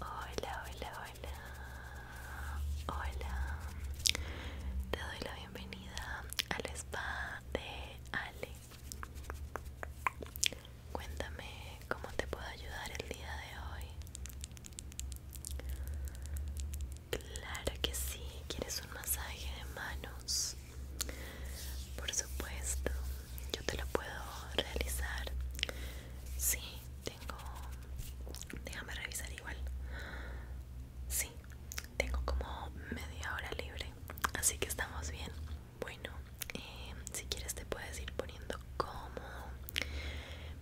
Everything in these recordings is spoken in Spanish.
Hola, hola, hola. Hola. Te doy la bienvenida al spa de Ale. Cuéntame cómo te puedo ayudar el día de hoy. Claro que sí, quieres un masaje de manos. Por supuesto, yo te lo puedo realizar. Sí, tengo... Déjame revisar igual. Sí, tengo como media hora libre, así que estamos bien. Bueno, eh, si quieres te puedes ir poniendo ¿Cómo?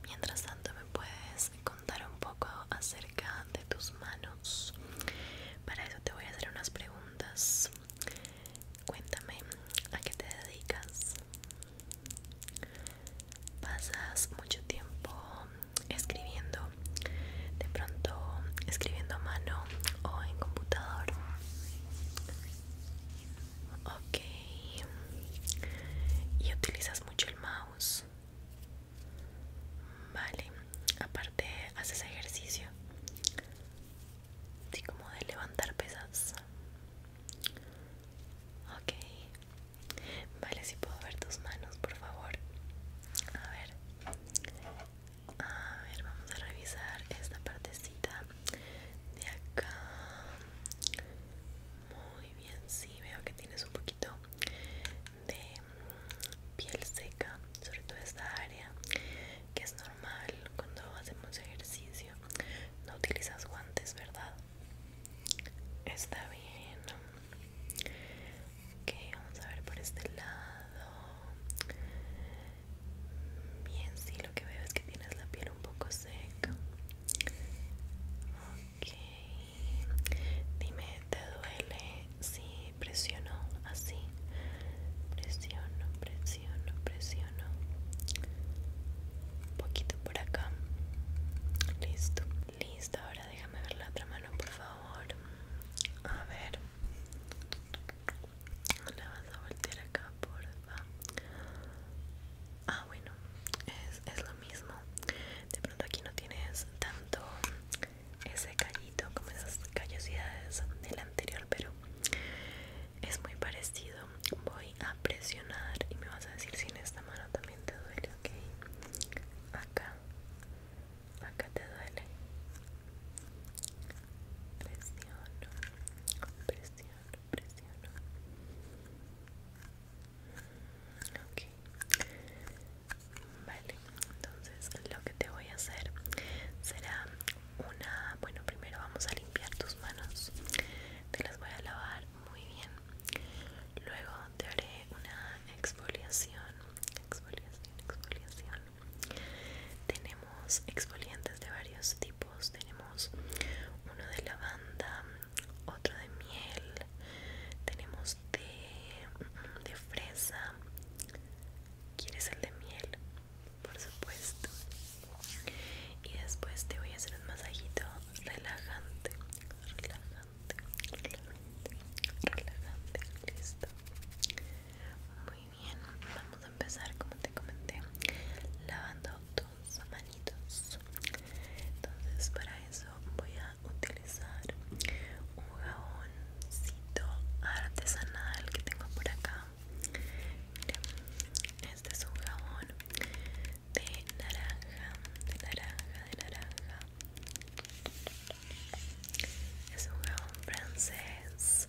Mientras tanto, me puedes contar un poco acerca de tus manos. Para eso te voy a hacer unas preguntas. Cuéntame, ¿a qué te dedicas? ¿Pasas mucho tiempo escribiendo? ¿De pronto escribiendo a mano o en computador? Ok. ¿Y utilizas mucho el mouse? Vale. Aparte, ¿haces ejercicio? así como de levantar pesas. Ok. Vale, si puedo ver tus manos, por favor. A ver. A ver, vamos a revisar esta partecita de acá. Muy bien, sí, veo que tienes un poquito de piel seca, sobre todo esta área, que es normal cuando hacemos ejercicio. No utilizas guantes, ¿verdad? Está bien. Ok, vamos a ver por este lado. Bien, sí, lo que veo es que tienes la piel un poco seca ok dime te duele si presiono así presiono presiono presiono un poquito por acá listo listo ahora déjame ver la otra mano por favor a ver la vas a voltear acá por porfa Ah, bueno, es, lo mismo. De pronto aquí no tienes tanto ese callito como esas callosidades del anterior, pero es muy parecido. Voy a presionar y me vas a decir si en esta mano también te duele, ¿ok? Acá, acá te duele. Presiono, presiono presiona. Ok. Vale, entonces lo que te voy a hacer será una... Bueno, primero vamos a limpiar tus manos. Te las voy a lavar muy bien. Luego te haré una exfoliación. Exfoliación, exfoliación. Tenemos exfoliantes de varios tipos tenemos uno de lavanda otro de miel tenemos de, mm, de fresa quieres el de miel por supuesto y después te voy a hacer un masajito relajante relajante relajante relajante listo muy bien vamos a empezar como te comenté lavando manitos, Entonces para eso voy a utilizar un jaboncito artesanal que tengo por acá. este es un jabón de naranja, de naranja, de naranja. Es un jabón francés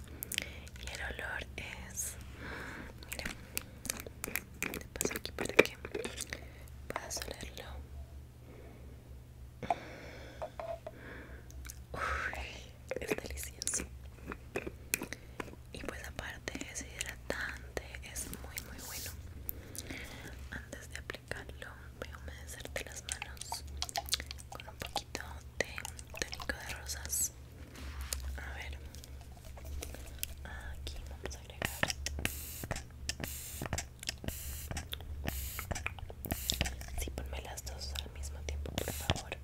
y el olor es, Mira te paso aquí para que puedas olerlo. Uy, es delicioso. Y pues aparte es hidratante, es muy muy bueno. Antes de aplicarlo voy a humedecerte las manos con un poquito de tónico de rosas a ver aquí vamos a agregar Sí, ponme las dos al mismo tiempo, por favor.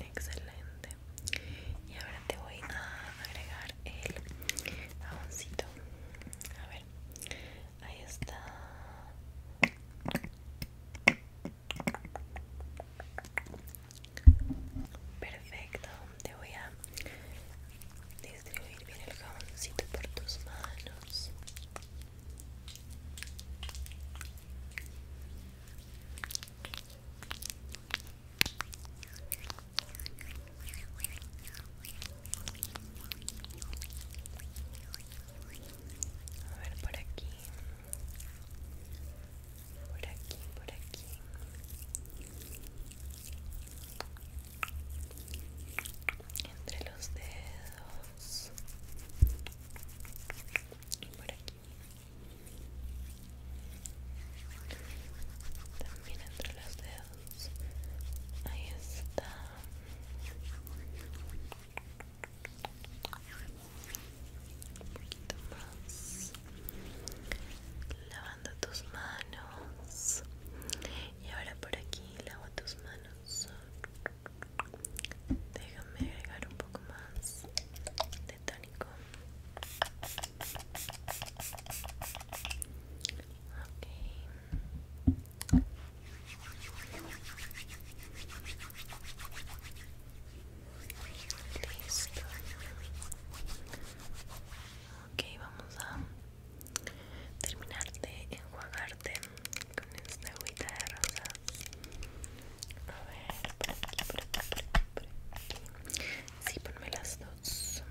Excelente. Y ahora te voy a agregar el jaboncito. A ver, Ahí está. Perfecto. Te voy a distribuir bien el jaboncito por tus manos. A ver por aquí. Por aquí, por aquí. Entre los dedos. Y por aquí. También entre los dedos. Ahí está. Un poquito más. Lavando tus manos. Y ahora por aquí lavo tus manos. Déjame agregar un poco más de tónico. ok Listo. Ok, vamos a terminar de enjuagarte con esta agüita de rosas. A ver, por aquí, por aquí, Sí, ponme las dos.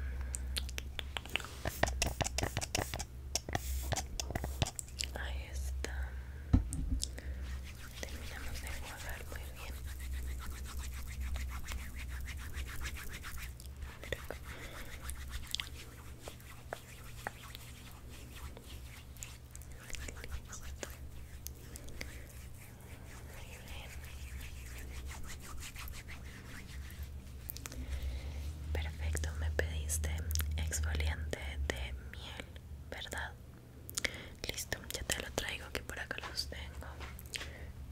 Ahí está. Terminamos de jugar Muy bien. Perfecto, me pediste exfoliante de miel, ¿verdad? Listo, ya te lo traigo, que por acá los tengo.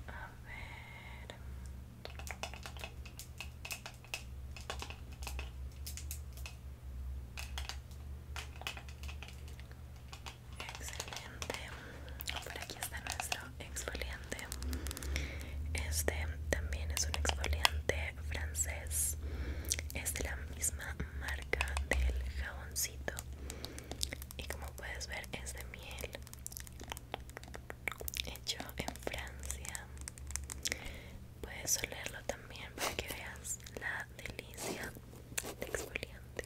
A ver. Excelente. Por aquí está nuestro exfoliante este también es un exfoliante francés es de la misma marca del jaboncito y como puedes ver es de miel hecho en Francia puedes olerlo también para que veas la delicia de exfoliante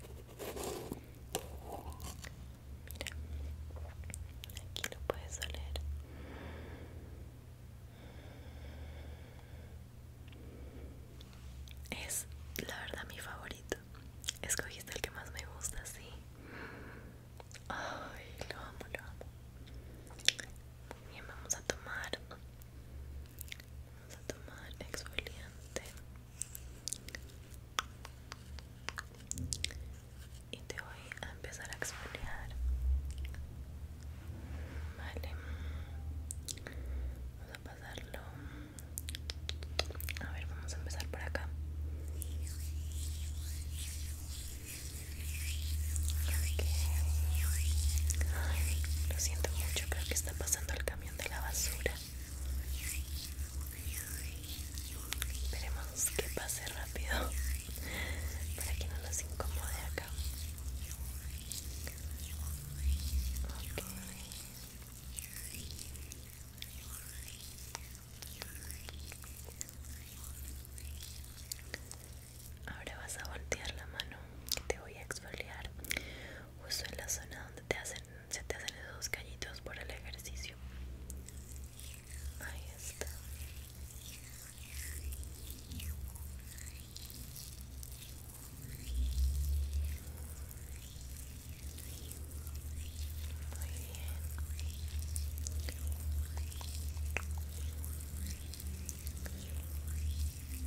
mira aquí lo puedes oler es la verdad mi favorito. Escogiste el que más me gusta, sí. Ay, lo amo, lo amo. Muy bien, vamos a tomar. Vamos a tomar exfoliante y te voy a empezar a exfoliar vale vamos a pasarlo a ver vamos a empezar por acá lo siento mucho creo que está pasando el camión de la basura Esperemos que pase rápido para que no los incomode acá. Ahora vas a voltear la mano que te voy a exfoliar justo en la zona donde te hacen, se te hacen esos callitos por el ejercicio. Ahí está. Muy bien.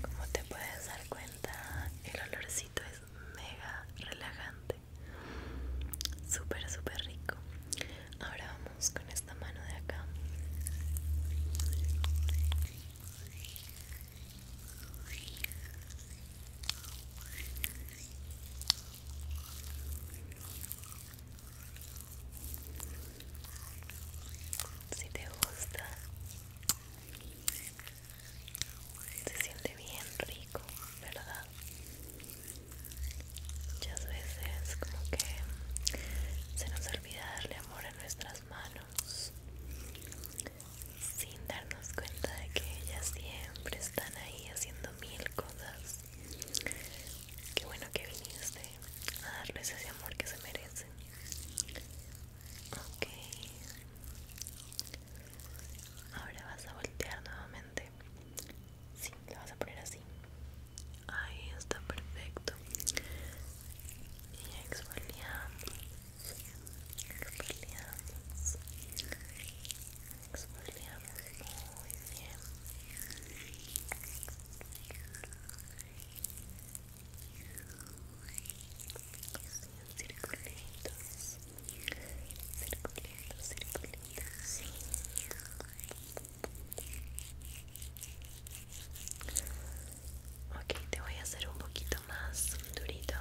Como te puedes dar cuenta, el olorcito es mega relajante. Súper, súper rico. Ahora vamos con esta mano de acá. Si te gusta, se siente bien rico, ¿verdad? Muchas veces como que se nos olvida darle amor a nuestras manos sin darnos cuenta de que ellas siempre están ahí haciendo mil cosas. Qué bueno que viniste a darles ese amor que se merecen. Ok. Ahora vas a voltear nuevamente Sí, la vas a poner así. Ahí está perfecto. Y exfoliamos. Exfoliamos. Exfoliamos muy bien. Así circulitos. Circulitos, circulitos. Ok, te voy a hacer un poquito más durito,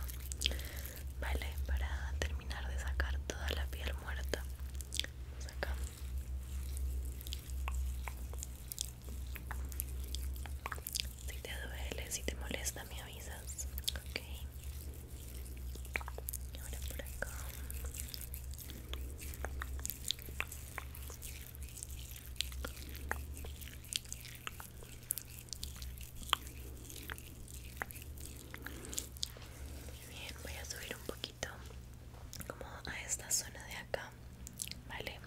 ¿vale? Para terminar de sacar toda la piel muerta. Vamos acá. Si te duele, si te molesta, me avisas. Ok. Ahora por acá. Muy bien, voy a subir un poquito como a esta zona de acá, ¿vale?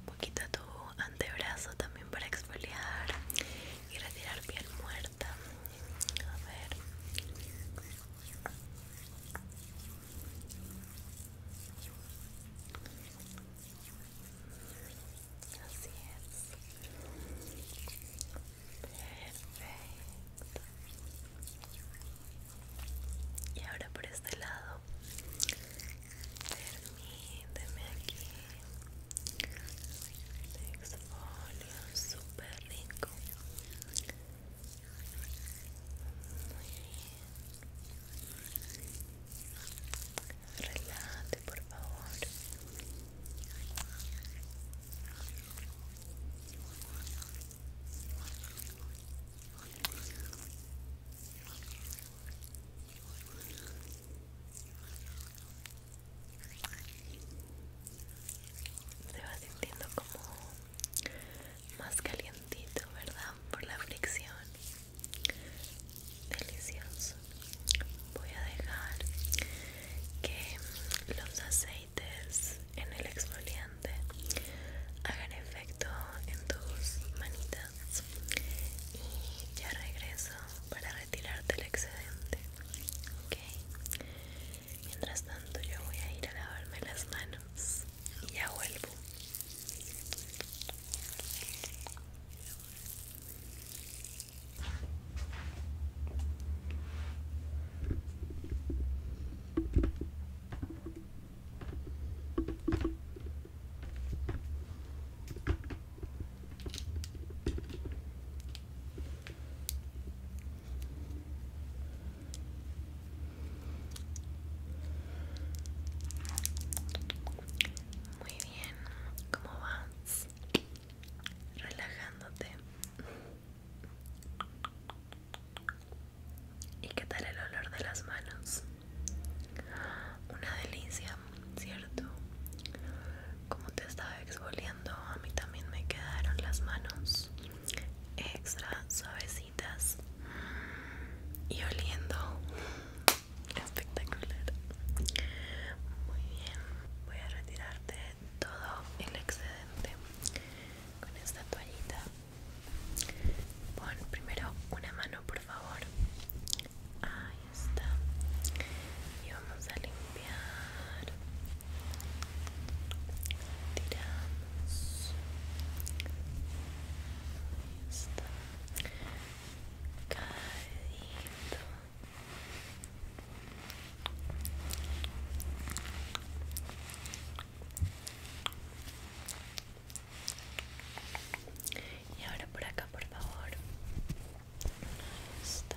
Un poquito a tu antebrazo también para exfoliar y retirar piel muerta. A ver. Así es. Perfecto. Y ahora por este lado, permíteme aquí. Te exfolio súper rico. Muy bien. Relájate, por favor. Se va sintiendo como más calientito, ¿verdad? Por la fricción. Delicioso. Voy a dejar que los aceites en el exfoliante hagan efecto en tus manitas y ya regreso para retirarte el excedente. Ok, Mientras tanto yo voy a ir a lavarme las manos y ya vuelvo. Muy bien, ¿cómo vas? Relajándote. ¿Y qué tal el olor de las manos? Una delicia, ¿cierto? Como te estaba exfoliando, a mí también me quedaron las manos extra suavecitas y oliendo espectacular muy bien voy a retirarte todo el excedente con esta toallita pon primero una mano por favor ahí está y vamos a limpiar tiramos Ahí está caído y ahora por acá por favor Ahí está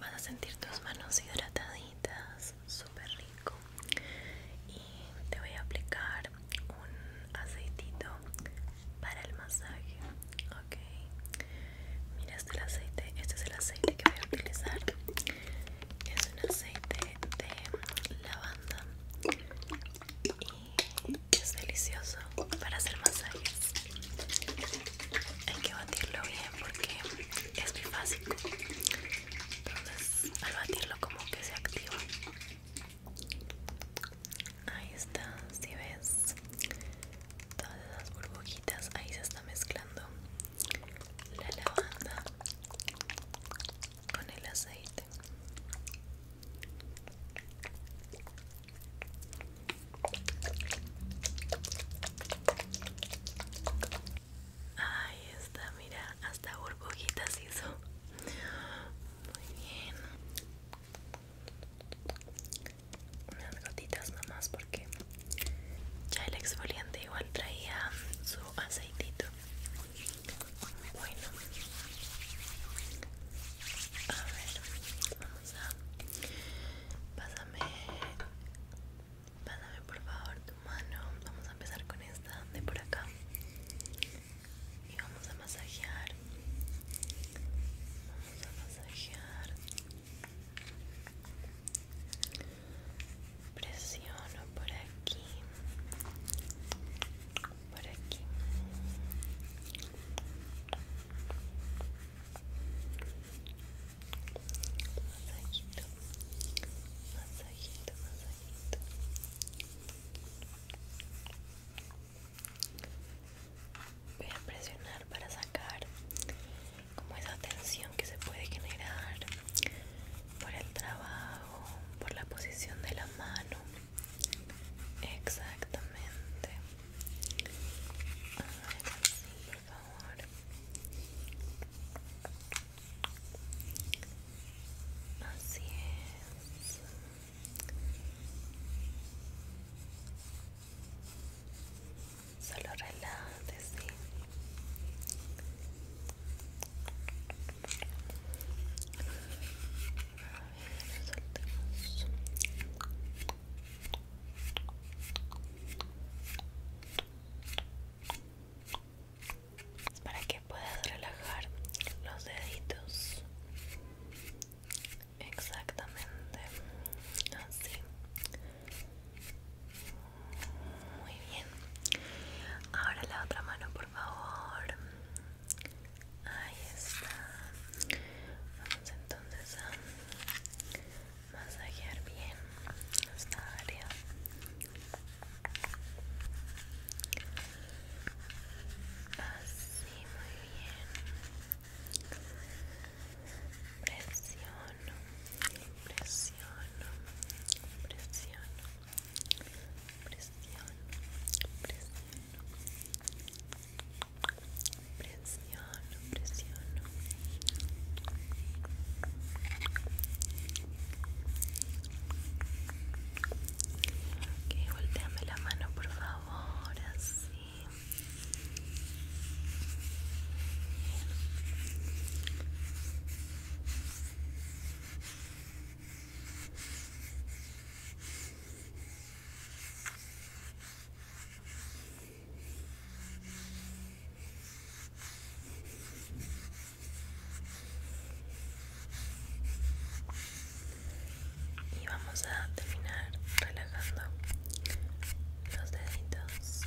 vas a sentir tus manos hidrataditas, súper rico. Y te voy a aplicar un aceitito para el masaje, ok. Mira, este aceite, este es el aceite que voy a utilizar. Es un aceite de lavanda y es delicioso para hacer masajes hay que batirlo bien porque es muy fácil entonces al batirlo como que se activa ahí está si ves todas las burbujitas ahí se está mezclando la lavanda con el aceite Ahí está, mira, hasta burbujitas hizo. Muy bien. Unas gotitas nomás porque ya el exfoliante igual traía su aceitito. Bueno. A ver, vamos a pasar pásame pásame por favor tu mano vamos a empezar con esta de por acá y vamos a masajear vamos a masajear presiono por aquí por aquí Voy a presionar para sacar como esa tensión que se puede generar por el trabajo, por la posición de la mano. Exactamente. A ver, así, por favor. Así es. Solo relájate, sí. A ver, últimos para que puedas relajar los deditos exactamente así muy bien ahora la otra mano por favor ahí está vamos entonces a masajear bien esta área así muy bien presiono presiono presiono presiono presiono presiono, presiono ok, volteame la mano por favor, así y vamos a terminar relajando los deditos.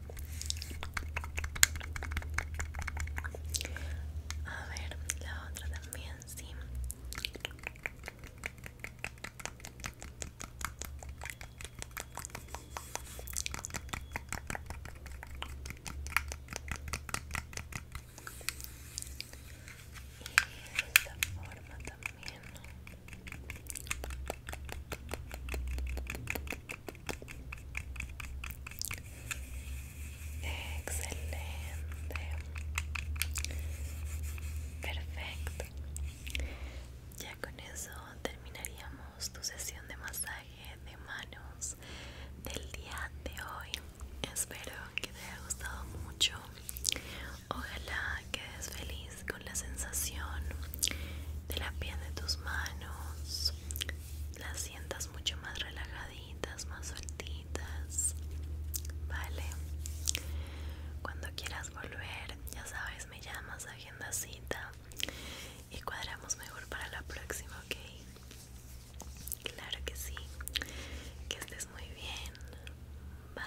A ver, la otra también, sí. Y de esta forma también. Excelente. Perfecto. Ya con eso terminaríamos tu sesión de masaje de manos del día de hoy. Espero que te haya gustado mucho. Ojalá quedes feliz con la sensación de la piel de tus manos las sientas mucho más relajaditas más sueltitas vale cuando quieras volver ya sabes me llamas agenda cita y cuadramos mejor para la próxima ok claro que sí que estés muy bien bye